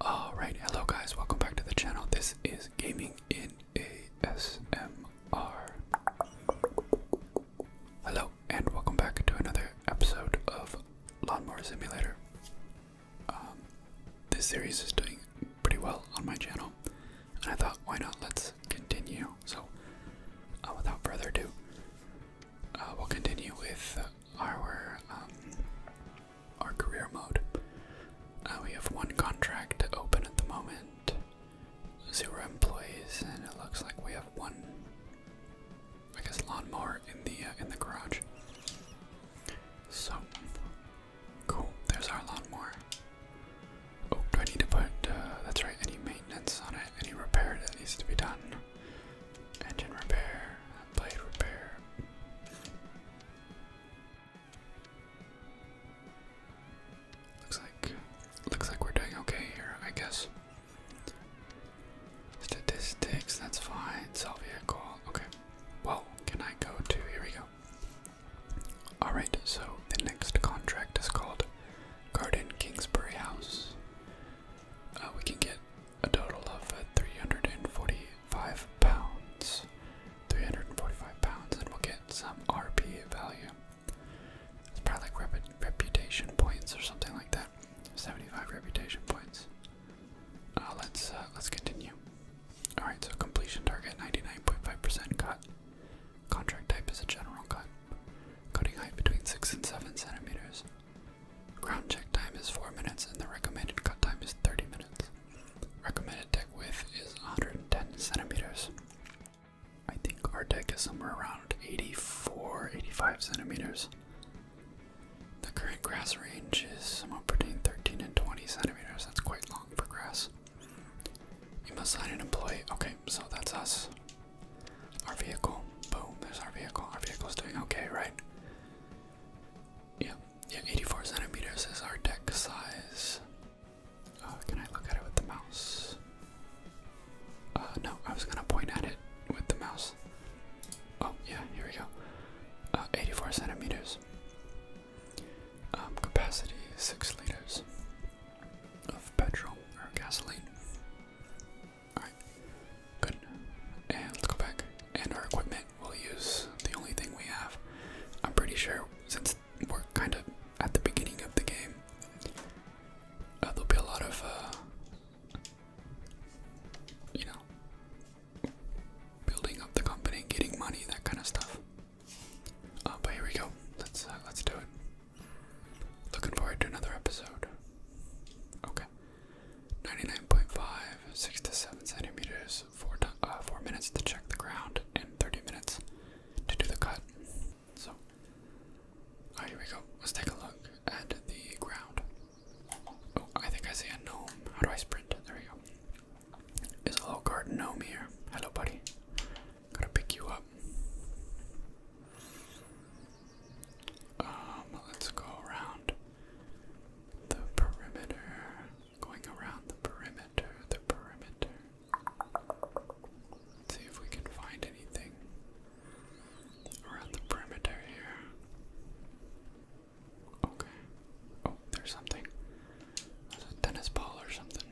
Alright, hello guys, welcome back to the channel. This is Gaming in ASMR. Hello, and welcome back to another episode of Lawnmower Simulator. Um, this series is doing pretty well on my channel, and I thought, why not? Let's continue. So, uh, without further ado, uh, we'll continue with uh, our um, our career mode. Uh, we have one contract open at the moment, zero employees, and it looks like we have one, I guess, lawnmower in the uh, in the garage. So cool. There's our lawnmower. Oh, do I need to put? Uh, that's right. Any maintenance on it? Any repair that needs to be done? Engine repair. Blade repair. Looks like looks like we're doing okay here, I guess. Statistics, that's fine. Sell vehicle. Okay. Well, can I go to here we go. Alright, so the next contract is called Garden Kingsbury House. Uh, we can get a total of 345 pounds. 345 pounds, and we'll get some RP value. It's probably like reputation points or something like that. 75 reputation points. Uh, let's uh, let's continue. All right, so completion target 99.5% cut. Contract type is a general cut. Cutting height between six and seven centimeters. Ground check time is 4 minutes and the recommended cut time is 30 minutes. Recommended deck width is 110 centimeters. I think our deck is somewhere around 84, 85 centimeters. The current grass range is somewhere between 13 and 20 centimeters. That's quite long for grass. You must sign an employee. Okay, so that's us. Our vehicle. Boom, there's our vehicle. Our vehicle is doing okay, right? Yep, yeah, 84 centimeters is our deck size. Uh, can I look at it with the mouse? Uh, no, I was gonna point at it with the mouse. Oh, yeah, here we go. Uh, 84 centimeters. Um, capacity 6 liters of petrol or gasoline. Alright, Good. And let's go back. And our equipment, we'll use the only thing we have. I'm pretty sure since we're kind of at the beginning of the game, uh, there'll be a lot of, uh, you know, building up the company, getting money, that kind of stuff. Uh, but here we go. Let's let's do it. Looking forward to another episode. Okay. 99.5, 6 to 7 centimeters, four, uh, 4 minutes to check the ground, and 30 minutes to do the cut. So, oh, here we go. Let's take a look at the ground. Oh, I think I see a gnome. How do I sprint? There we go. There's a little garden gnome here. Hello, buddy. Gotta pick you up. Um, let's go around the perimeter, going around the perimeter, the perimeter. see if we can find anything around the perimeter here. Okay. Oh, there's something. There's a tennis ball or something.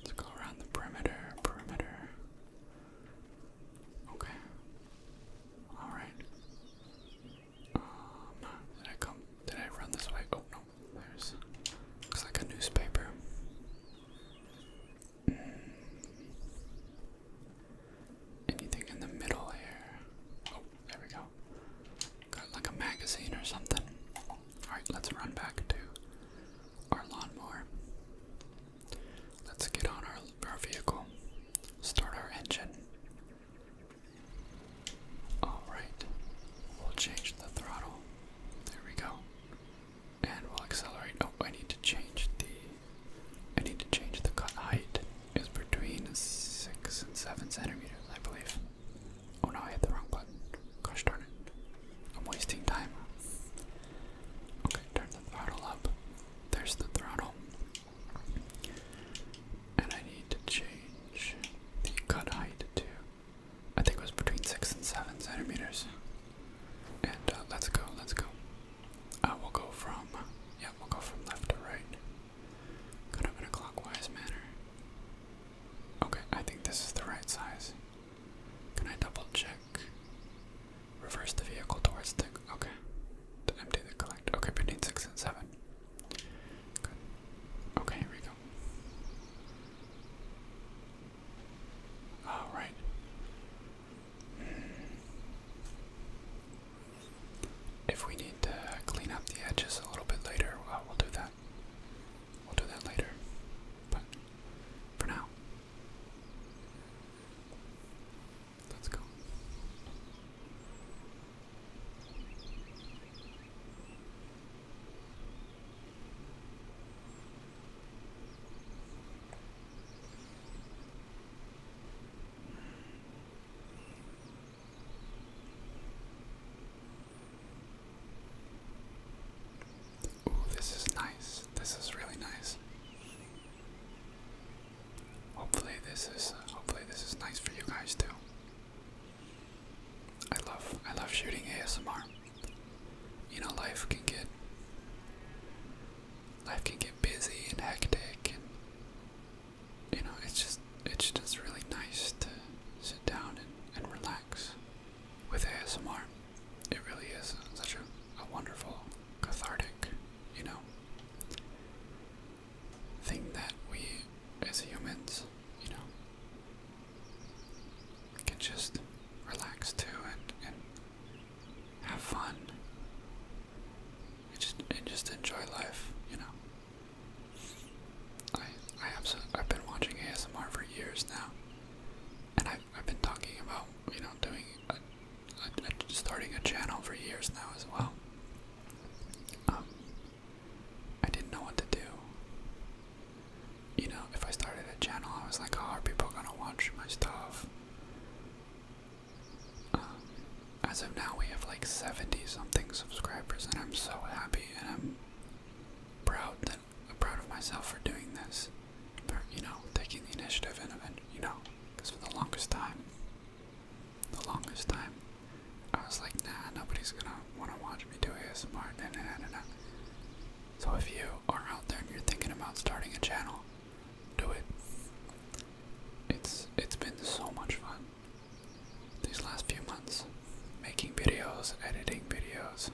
Let's go around the perimeter, perimeter. Okay. Alright. Um, did I come? Did I run this way? Oh no, there's. Looks like a newspaper. Mm. Anything in the middle here? Oh, there we go. Got like a magazine or something. Alright, let's run back to our lawnmower. Let's get on our, our vehicle, start our engine, Alright, we'll change the throttle. There we go. And we'll accelerate. Oh, I need to change the. I need to change the cut height. Is between six and seven centimeters, I believe. Oh no, I hit the wrong button. Gosh darn it. I'm wasting time. Okay, turn the throttle up. There's the throttle. And I need to change the cut height to, I think it was between 6 and 7 centimeters. And uh, let's go, let's go. I uh, will go from, yeah, we'll go from left to right. Kind manner. Okay, I think this is the right size. Can I double check? Reverse the vehicle towards the, okay. To empty the collect. Okay, between six and seven. Good. Okay, here we go. All right. If we need to clean up the edges a little bit later, uh, we'll do that. We'll do that later. But for now. Let's go. Ooh, this is nice. This is really nice. Hopefully this is hopefully this is nice for you guys too. I love I love shooting ASMR. You know life can get life can get busy and hectic and you know it's just it's just really nice to sit down and, and relax with ASMR. It really is such a, a wonderful cathartic, you know thing that we, as humans, you know, can just relax to and, and have fun and just, and just enjoy life, you know. I, I absolutely, I've been watching ASMR for years now, and I've, I've been talking about, you know, doing, starting a channel for years now as well. Um, I didn't know what to do. You know, if I started a channel, I was like, oh, are people gonna watch my stuff?" Um, as of now, we have like seventy something subscribers, and I'm so happy, and I'm proud that I'm proud of myself for doing this, for you know, taking the initiative and, you know, because for the longest time, the longest time. I was like, nah, nobody's gonna wanna watch me do ASMR. Nah, nah, nah, nah, nah. So if you are out there and you're thinking about starting a channel, do it. It's it's been so much fun these last few months, making videos, editing videos,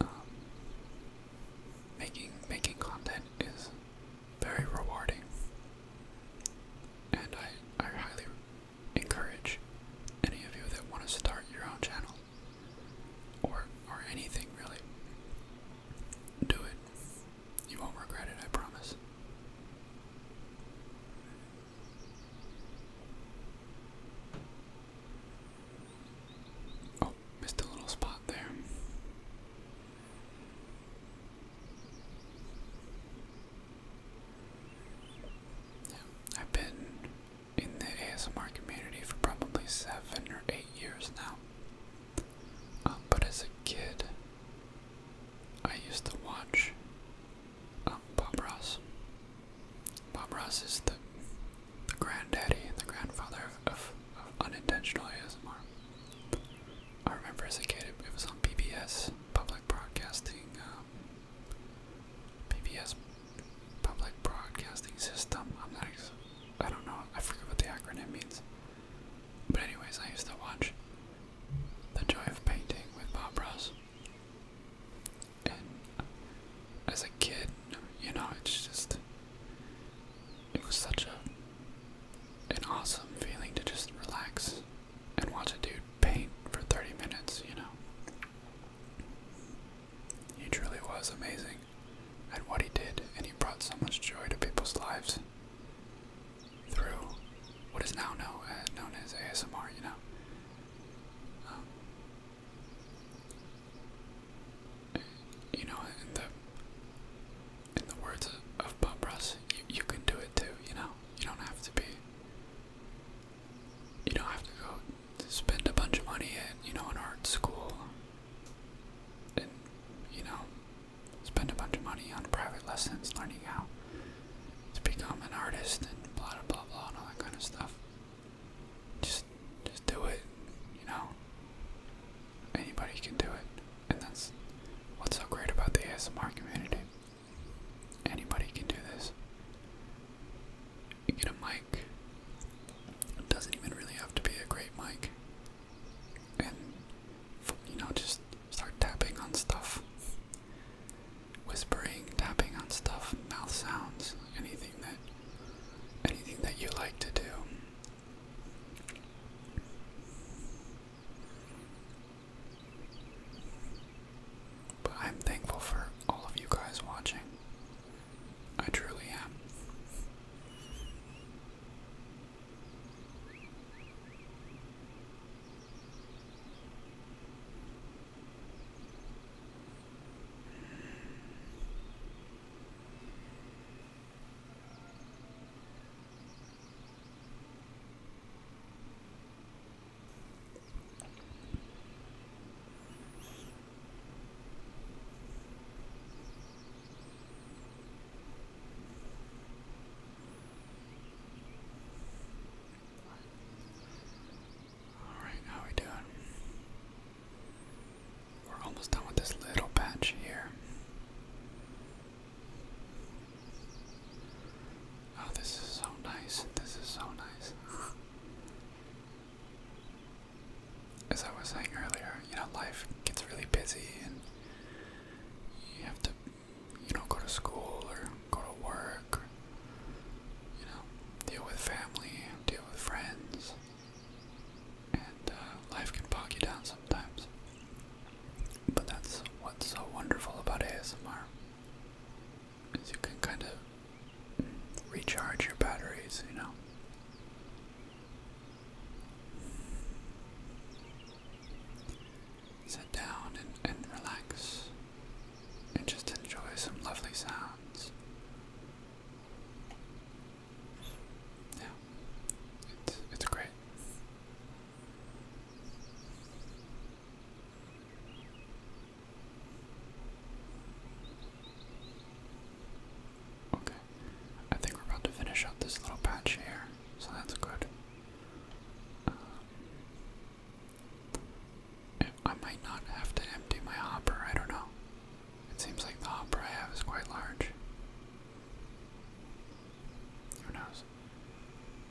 um, making making content is very rewarding. And I, I highly encourage any of you that want to start your own channel or, or anything really. Do it. You won't regret it, I promise. Oh, missed a little spot there. I've been in the ASMR community for probably seven or eight years now. Um, but as a kid, I used to watch um, Bob Ross. Bob Ross is the, the granddaddy, the grandfather of unintentional ASMR. I remember as a kid it, was on PBS, public broadcasting, um, PBS, public broadcasting system. I'm not, I don't know, I forget what the acronym means. But anyways, I used to watch The Joy of Painting with Bob Ross. And as a kid, you know, it's just, it was such a an awesome feeling to just relax and watch a dude paint for 30 minutes, you know. He truly was amazing at what he did, and he brought so much joy to people's lives through what is now known uh, as, ASMR, you know. Um, you know, the in the words of, Bob Ross, you, you can do it too, you know? You don't have to be. You don't have to go spend a bunch of money at, you know, an art school and, you know, spend a bunch of money on private lessons learning how to become an artist and blah, blah, blah, blah and all that kind of stuff. Just, just do it, you know? Anybody can do it and that's what's so great about the ASMR community. Anybody can do this. You get a mic. doesn't even really have to be a great mic. And you know, just start tapping on stuff. Whispering, tapping on stuff, mouth sounds, anything that anything that you like to do. But I'm thankful for all of you guys watching. I truly am. All right, how we doing? We're almost done with this little patch here. Oh, this is so nice. This is so nice. As I was saying earlier, you know, life gets really busy and you have to, you know, go to school or go to work, or, you know, deal with family, deal with friends, and uh, life can bog you down sometimes. But that's what's so wonderful about ASMR is you can kind of recharge your batteries, you know. Sit down and, relax and just enjoy some lovely sounds. Yeah, it's, it's great. Okay, I think we're about to finish up this little patch here, so that's good. Um, I might not have to empty my hopper, I don't know. It seems like the hopper I have is quite large. Who knows?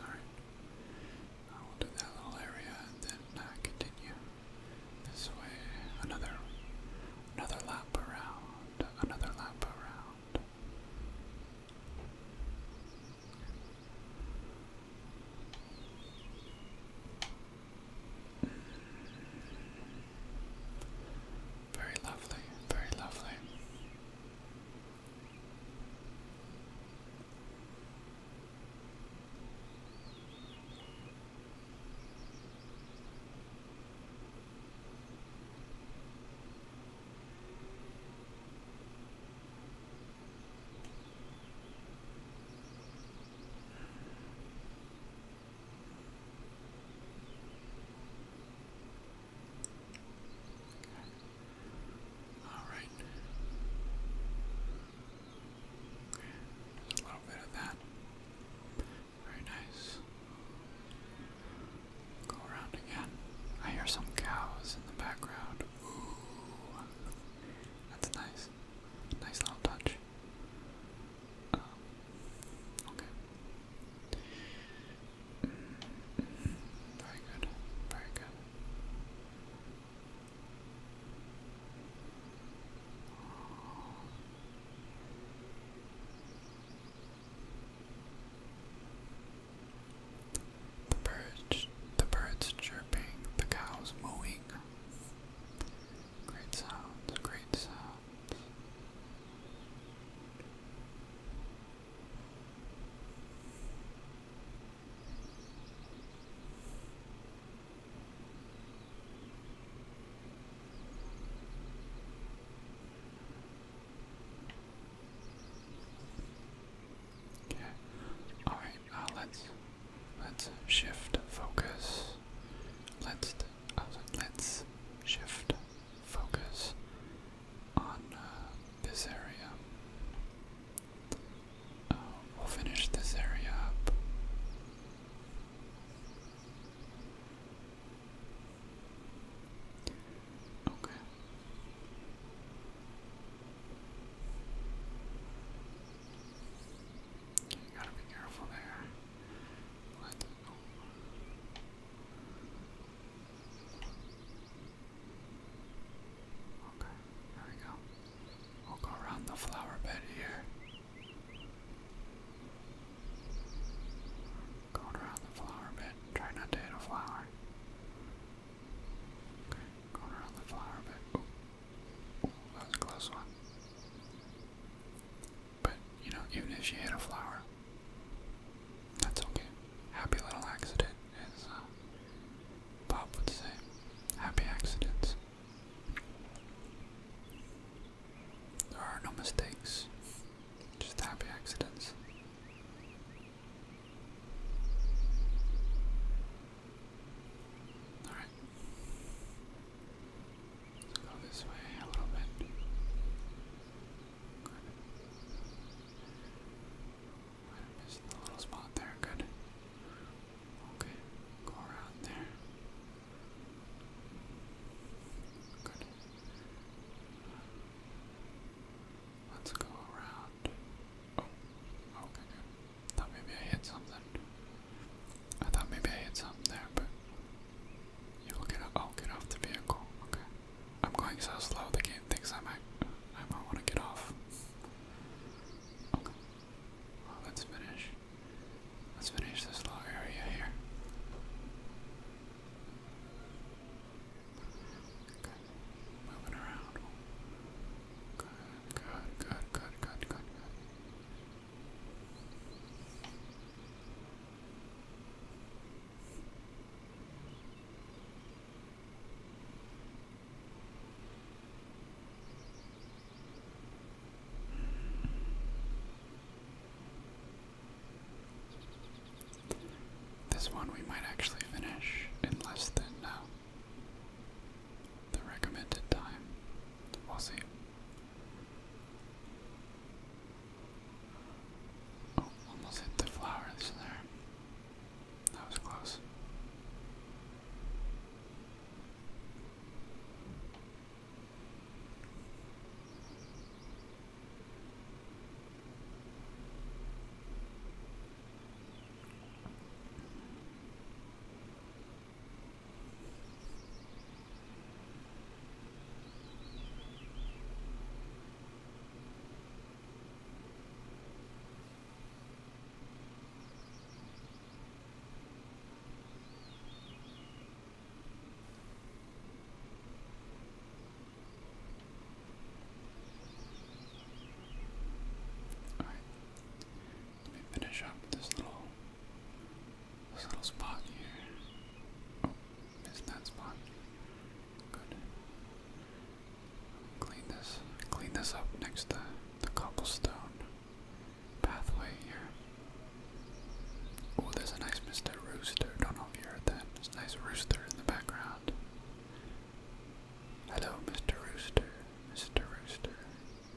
All right. I will do that little area and then uh, continue this way. Another, another lap around. Another lap around. Very lovely, very lovely. All right. a little bit of that. Very nice. Go around again. I hear some cows in the background. Ooh. That's nice. Nice little touch. Um, okay. Mm -hmm. Very good. Very good. The birds, the birds chirping, the cows mooing. Great sounds, great sounds. Okay. All right. Now uh, let's Let's shift focus. Let's oh, let's shift focus on uh, this area. Uh, we'll finish this area up. okay. You gotta be careful there. Let's Okay, there we go. We'll go around the flower bed here. Going around the flower bed. Try not to hit a flower. Okay, going around the flower bed. that was a close one. But, you know, even if she hit a flower, that's okay. Happy little accident, as uh, Bob would say. Happy accidents. There are no mistakes, just happy accidents. Alright, Let's go this way a little bit. Good. I missed the little spot there. Good. Okay. Go around there. Good. Let's go around. Oh, okay, good. maybe I hit something. I thought maybe I hit something there, but you will get I'll get off the vehicle. Okay. I'm going so slow the game thinks I might. I might want to get off. Okay. let's finish. Let's finish this little area here. Okay. Moving around. Good, good, good, good, good, good, good. This one we might actually finish in less than uh, the recommended time. We'll see. Oh, almost hit the flowers there. That was close. All right, let me finish up this little this little spot here. Oh, missed that spot. Good. Clean this. Clean this up next to the cobblestone pathway here. Oh, there's a nice Mr. Rooster. Don't know if you heard that. There's nice rooster in the background. Hello, Mr. Rooster. Mr. Rooster.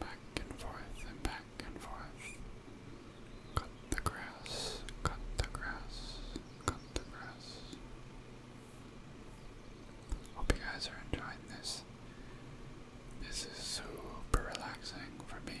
Back and forth and back and forth. Cut the grass, cut the grass, cut the grass. Hope you guys are enjoying this. This is super relaxing for me.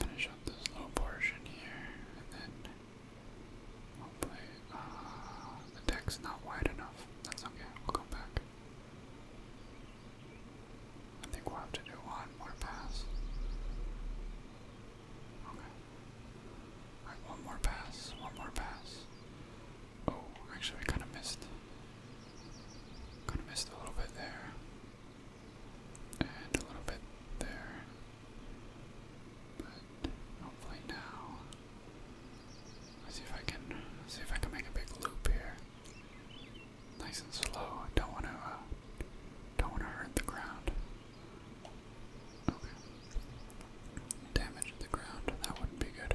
Finish up this little portion here, and then hopefully uh, the deck's not wide enough. That's okay, we'll come back. I think we'll have to do one more pass. Okay one more pass, one more pass. Oh, actually we kinda missed. Kinda missed a little bit there. And a little bit there. But hopefully now. see if I can see if I can make a big loop here. Nice and slow. Don't wanna uh, don't wanna hurt the ground. Okay. Damage the ground, that wouldn't be good.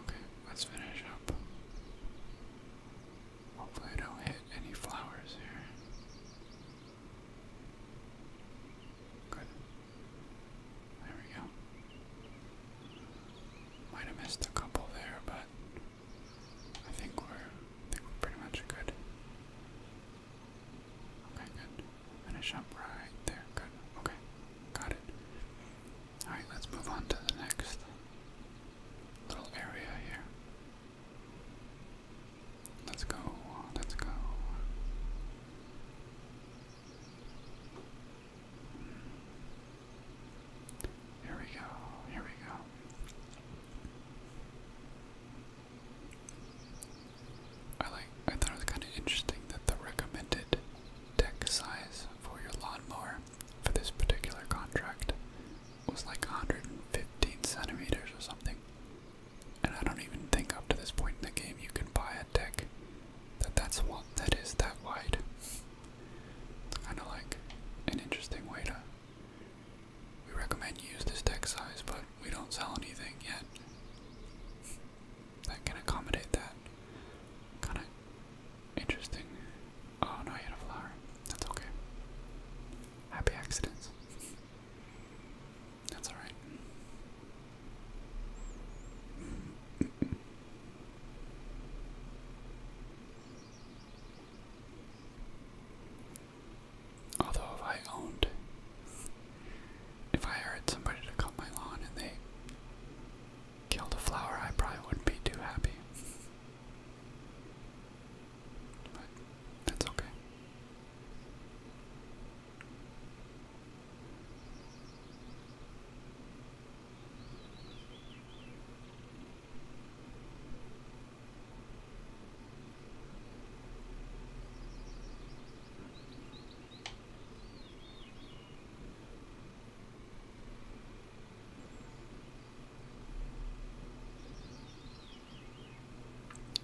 Okay, let's finish up. Hopefully I don't hit any flowers here. Good. There we go. Might have missed a couple there, but I think we're pretty much good. Okay, good. Finish up right there. Good. Okay, got it. Alright, let's move on to the next little area here. Let's go, let's go. Here we go, here we go. I like I thought it was kind of interesting that the recommended deck size for your lawnmower for this particular contract was like 115 centimeters or something. And I don't even think up to this point in the game you can buy a deck that that's one that is that wide. It's kind of like an interesting way to. We recommend you use this deck size, but we don't sell anything yet that can accommodate that. Kind of interesting. Oh no, you had a flower. That's okay. Happy accidents. That's alright. Although I owned if I hired somebody to cut my lawn and they killed a flower, I probably wouldn't be too happy. But that's okay.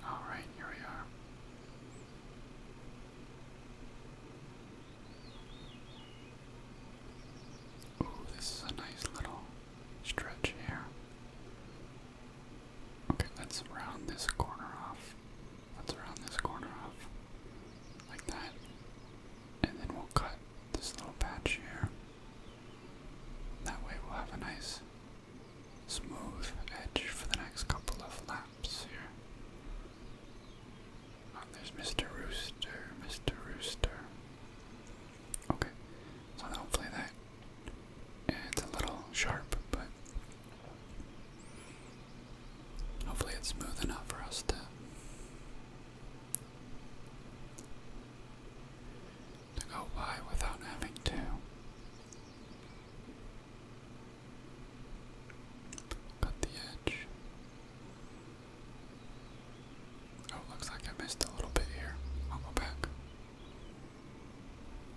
All right, here we are. Oh, this is a nice little stretch here. Okay, let's round this corner off. Let's round this corner off like that. And then we'll cut this little patch here. That way we'll have a nice smooth edge for the next couple of laps here. Oh, there's Mr. Rooster, Mr. Rooster. Okay, so hopefully that it's a little sharp, but Hopefully it's smooth enough for us to to go by without having to cut the edge. Oh, looks like I missed a little bit here. I'll go back.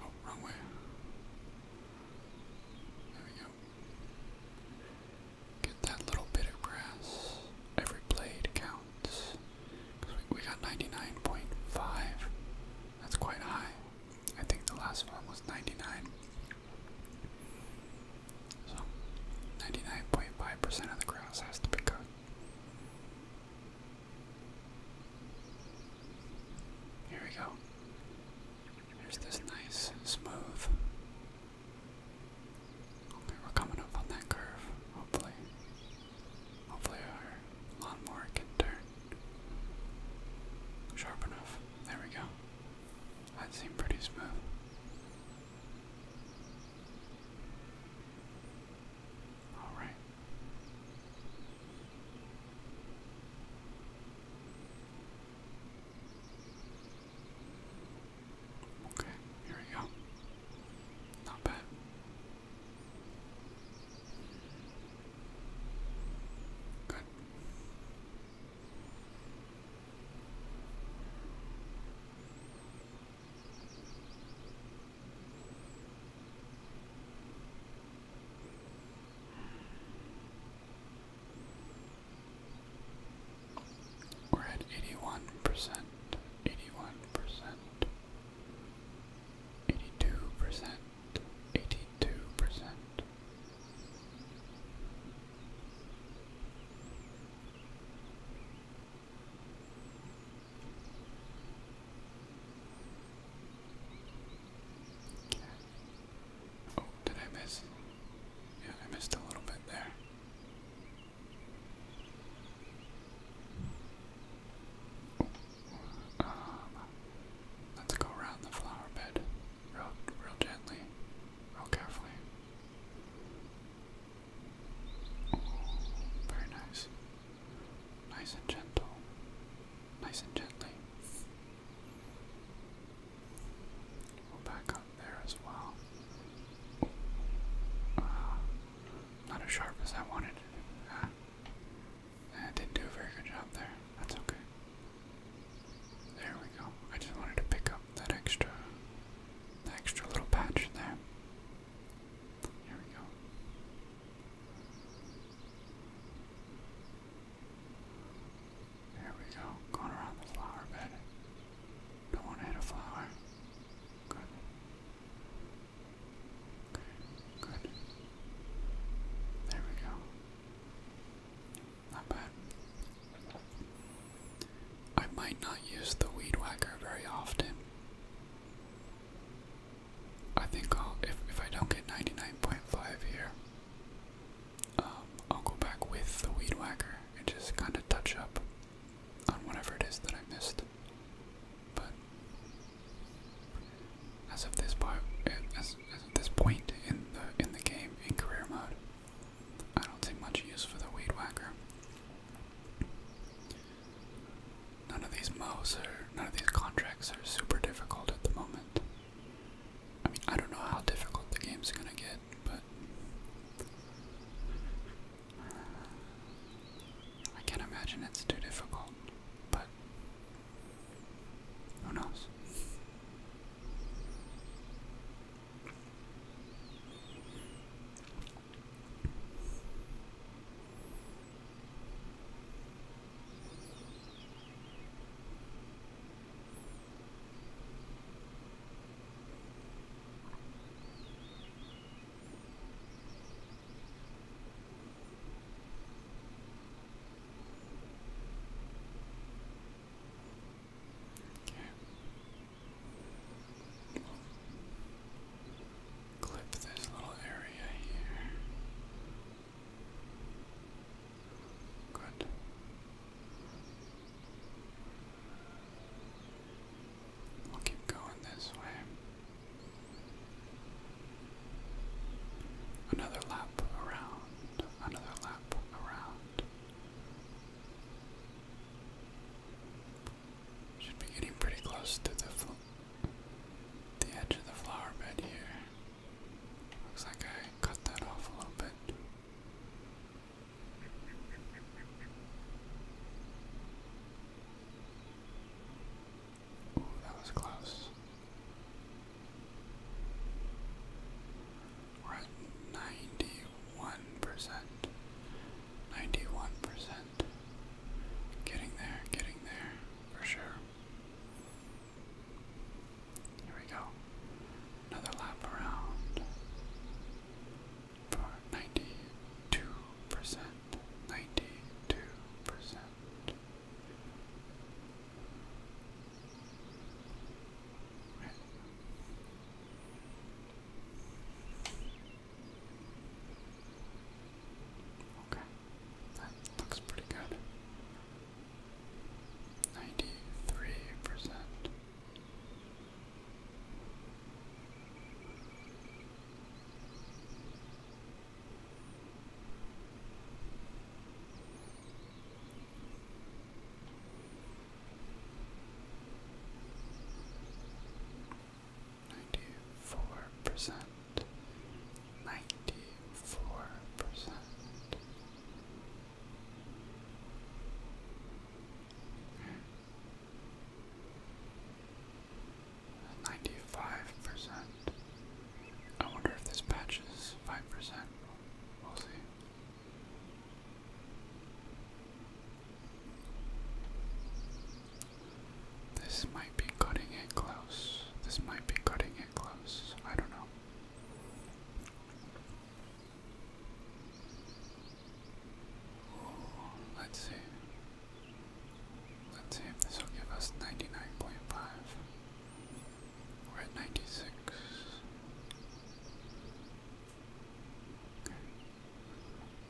Oh, wrong way. There we go. Get that little bit of grass. Every blade counts. we got 99.5. That's quite high. I think the last one was 99. So, 99.5% of the grass has to be cut. Here we go. There's this nice, smooth. Okay, we're coming up on that curve, hopefully. Hopefully our lawnmower can turn sharp enough. There we go. That seemed pretty smooth. Alright. Okay, here we go. Not bad. Good. We're at eighty-one percent, eighty-one percent, eighty-two percent, eighty-two percent. Oh, did I miss? Yeah, I missed a little bit there. Um, let's go around the flower bed real, real gently, real carefully. very nice. Nice and gentle. Nice and gently back up there as well. Uh, not as sharp as I wanted. I ah. eh, didn't do a very good job there. That's okay. There we go. I just wanted to pick up that extra, extra little patch there. Here we go. There we go. Going around the flower bed. Don't want to hit a flower. Good. Okay, good. There we go. Not bad. I might not use the weed whacker very often. I think I'll, if, if I don't get 99.5 here, um, I'll go back with the weed whacker and just kind of touch up on whatever it is that I missed. But as of this eh, point in the game in career mode, I don't see much use for the weed whacker. None of these mows are, none of these contracts are super difficult at the moment. I mean, I don't know how difficult the game's gonna get, but I can't imagine it's too difficult, but who knows? Okay. Clip this little area here. Good. We'll keep going this way. Another lap around, another lap around. Should be getting pretty close to the the edge of the flower bed here. Looks like I cut that off a little bit. Ooh, that was close. We're at ninety-one percent. Ninety-one percent. Getting there, getting there, for sure. Here we go. Another lap around for ninety-two percent. Ninety-two percent. Okay, that looks pretty good. Ninety-three percent. Ninety-four percent. Ninety-four percent. Ninety-five percent. I wonder if this patch five percent. We'll see. This might be cutting it close. This might be cutting it close. I don't know let's see. Let's see if this will give us 99.5. We're at 96. Okay.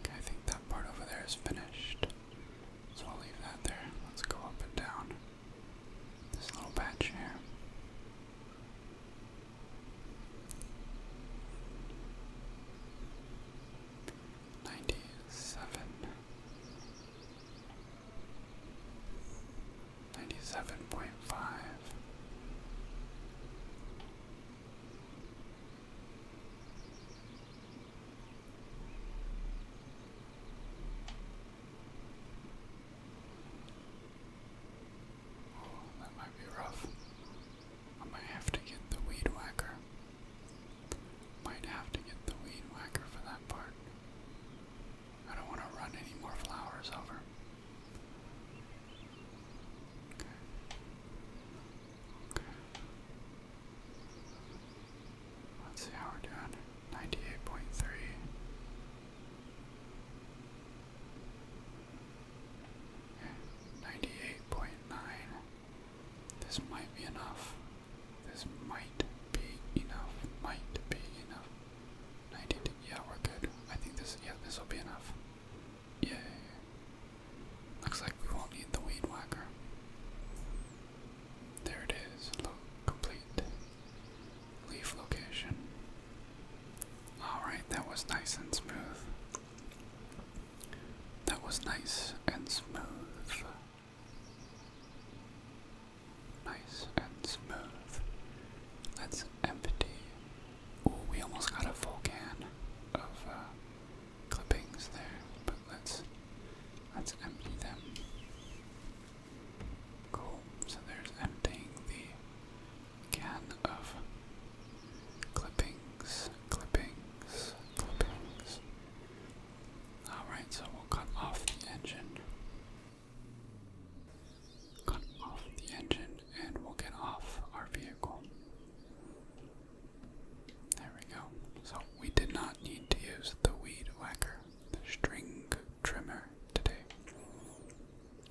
okay, I think that part over there is finished. So I'll leave that there. Let's go up and down. This little patch here. Ninety seven. Ninety seven point five. Oh, that might be rough. I might have to get the weed whacker. Might have to get the weed whacker for that part. I don't want to run any more flowers over. Okay. Okay. Let's see how we're doing. 98.3. 98.9. This might be enough. This might be enough. Might be enough. 90. Yeah, we're good. I think this, yeah, this will be enough. Yay. Looks like we won't need the weed whacker. There it is. Look, complete. Leaf location. Alright, that was nice and smooth. That was nice and smooth. Nice and smooth. Let's empty. Oh, we almost got a full can of uh, clippings there, but let's let's empty them. Cool. So there's emptying the can of clippings, clippings, clippings. Alright, so we'll cut off the engine. Cut off the engine and we'll get off our vehicle. There we go. So we did not need to use the weed whacker, the string trimmer today.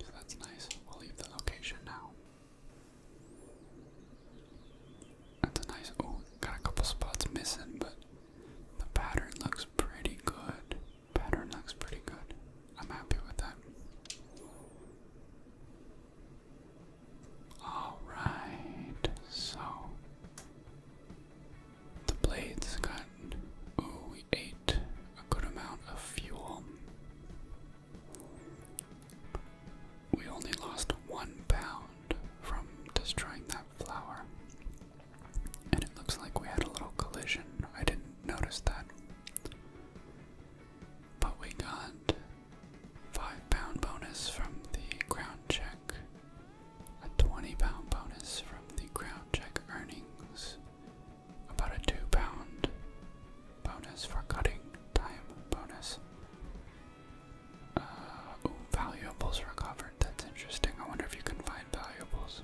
So that's nice. We'll leave the location now. That's nice. Oh, got a couple spots missing, but the pattern looks pretty good. Pattern looks pretty good. I'm happy with that. Alright, so the blades got we ate a good amount of fuel. We only lost one pound from destroying that flower. And it looks like we had a little collision. I didn't notice that. But we got five pound bonus from the ground check, a 20 pound bonus from the ground check earnings, about a two pound bonus for cutting, time bonus. Uh, valuables recovered, that's interesting. I wonder if you can find valuables.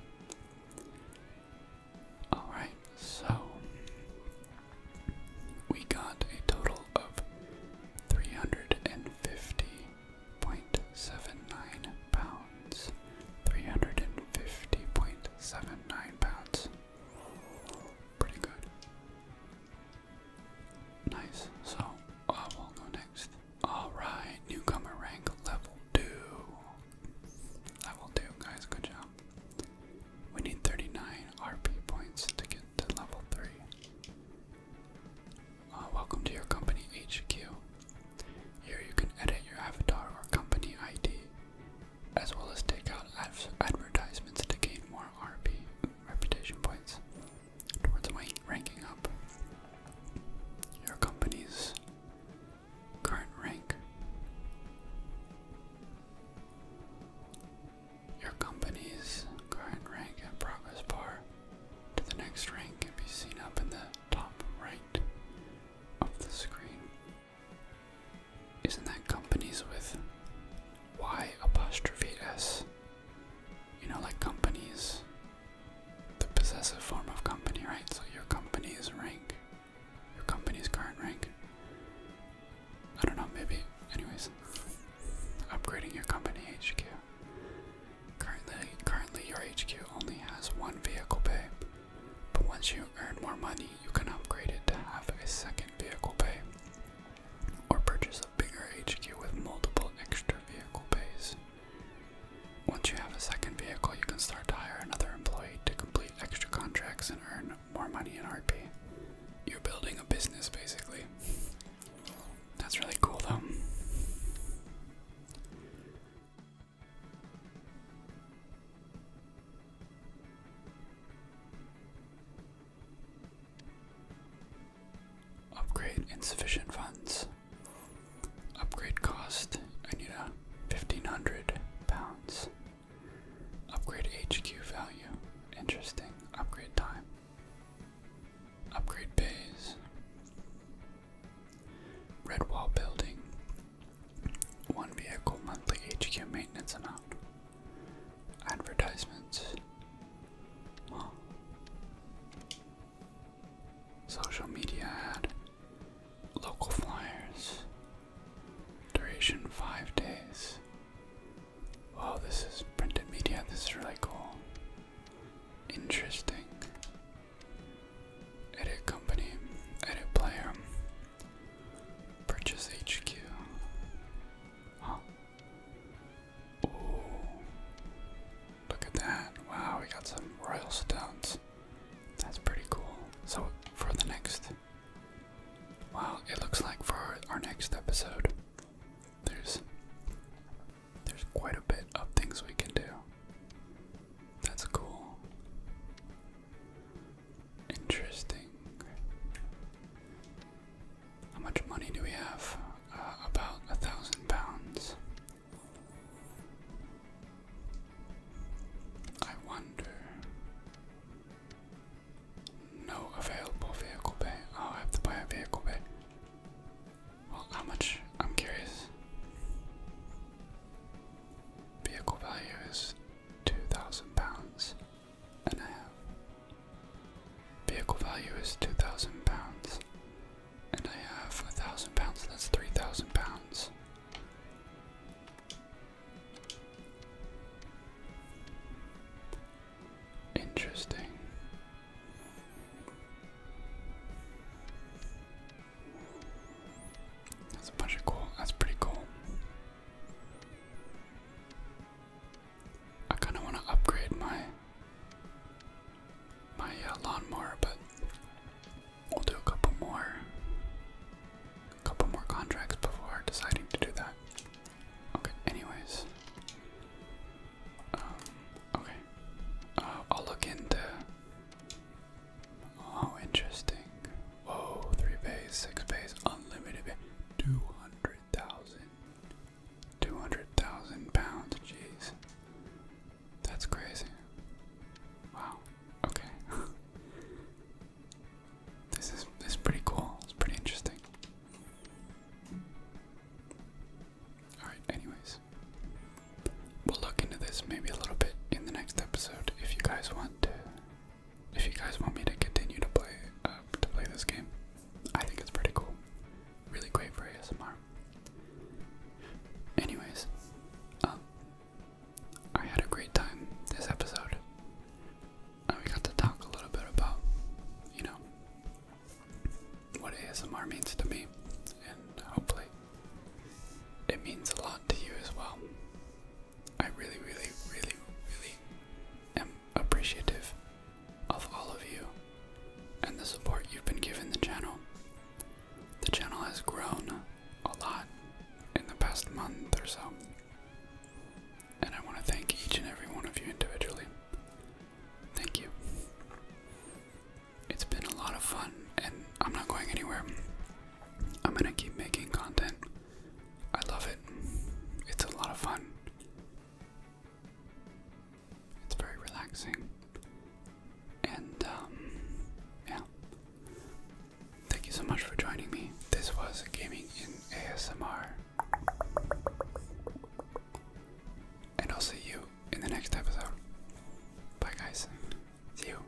Alright, so we got a total of 350.79 pounds pounds, 350.79 pounds. Pretty good. Nice. So, uh, will go next. Alright, newcomer rank level 2. Level 2, guys, good job. We need 39 RP points to get to level 3. Uh, welcome to your company HQ. Here you can edit your avatar or company ID as well as take out ad advertisements to gain more RP reputation points towards my ranking up. Your company's current rank. Your company's current rank and progress bar to the next rank can be seen up in the top right of the screen. Isn't that companies with Y apostrophe S? You know, like companies, the possessive form of company, right? So your company's rank, your company's current rank. I don't know, maybe, anyways, upgrading your company HQ. Currently, currently your HQ only has one vehicle bay. But once you earn more money, you can upgrade it to have a second vehicle bay or purchase a bigger HQ with multiple extra vehicle bays. Once you have a second vehicle, you can start to hire another employee to complete extra contracts and earn more money in RP. You're building a business basically. That's really cool though. Upgrade insufficient funds. Upgrade cost. I need a fifteen hundred pounds. Upgrade HQ value. Interesting. Upgrade time. Upgrade bays. Red wall building. One vehicle monthly HQ maintenance amount. Advertisements. Social media ad. Local flyers. Duration five days. Wow, this is printed media. This is really cool. Interesting. Edit company, edit player, Purchase HQ. Huh. Look at that. Wow, we got some royal stones. That's pretty cool. So, for the next. Wow, it looks like for our next episode, there's. There's quite a bit of things we can do. That's cool. Interesting. How much money do we have? Uh, about a thousand pounds. I wonder. No available vehicle pay. Oh, I have to buy a vehicle pay. Well, how much? I'm curious. Vehicle value is 2,000 pounds and a half. Vehicle value is 2,000 pounds and I have a 1,000 pounds, that's 3,000 pounds. Interesting. That's a bunch of cool. That's pretty cool. I kind of want to upgrade my my uh, lawnmower, but we'll do a couple more, a couple more contracts before deciding to do that. Okay. Anyways, um, okay. Uh, I'll look into Oh, interesting. Whoa, three bays, six bays, unlimited bays. 200,000. 200,000 pounds, jeez. That's crazy. Wow. Okay. this is this is pretty cool. It's pretty interesting. Alright, anyways. We'll look into this maybe a little bit in the next episode if you guys want to if you guys want me to continue to play uh, to play this game, I think it's pretty cool. Really great for ASMR. Anyways, um, I had a great time this episode. Uh, we got to talk a little bit about, you know, what ASMR means to me, and hopefully, it means a lot to you as well. I really, really, really, really am appreciative of all of you and the support you've been giving the channel. The channel has grown a lot in the past month or so, and I want to thank each and every one of you individually. Thank you. It's been a lot of fun, and I'm not going anywhere. I'm gonna keep making content. I love it. It's a lot of fun. It's very relaxing. And, um, yeah. Thank you so much for joining me. This was Gaming in ASMR. And I'll see you in the next episode. Bye, guys. See you.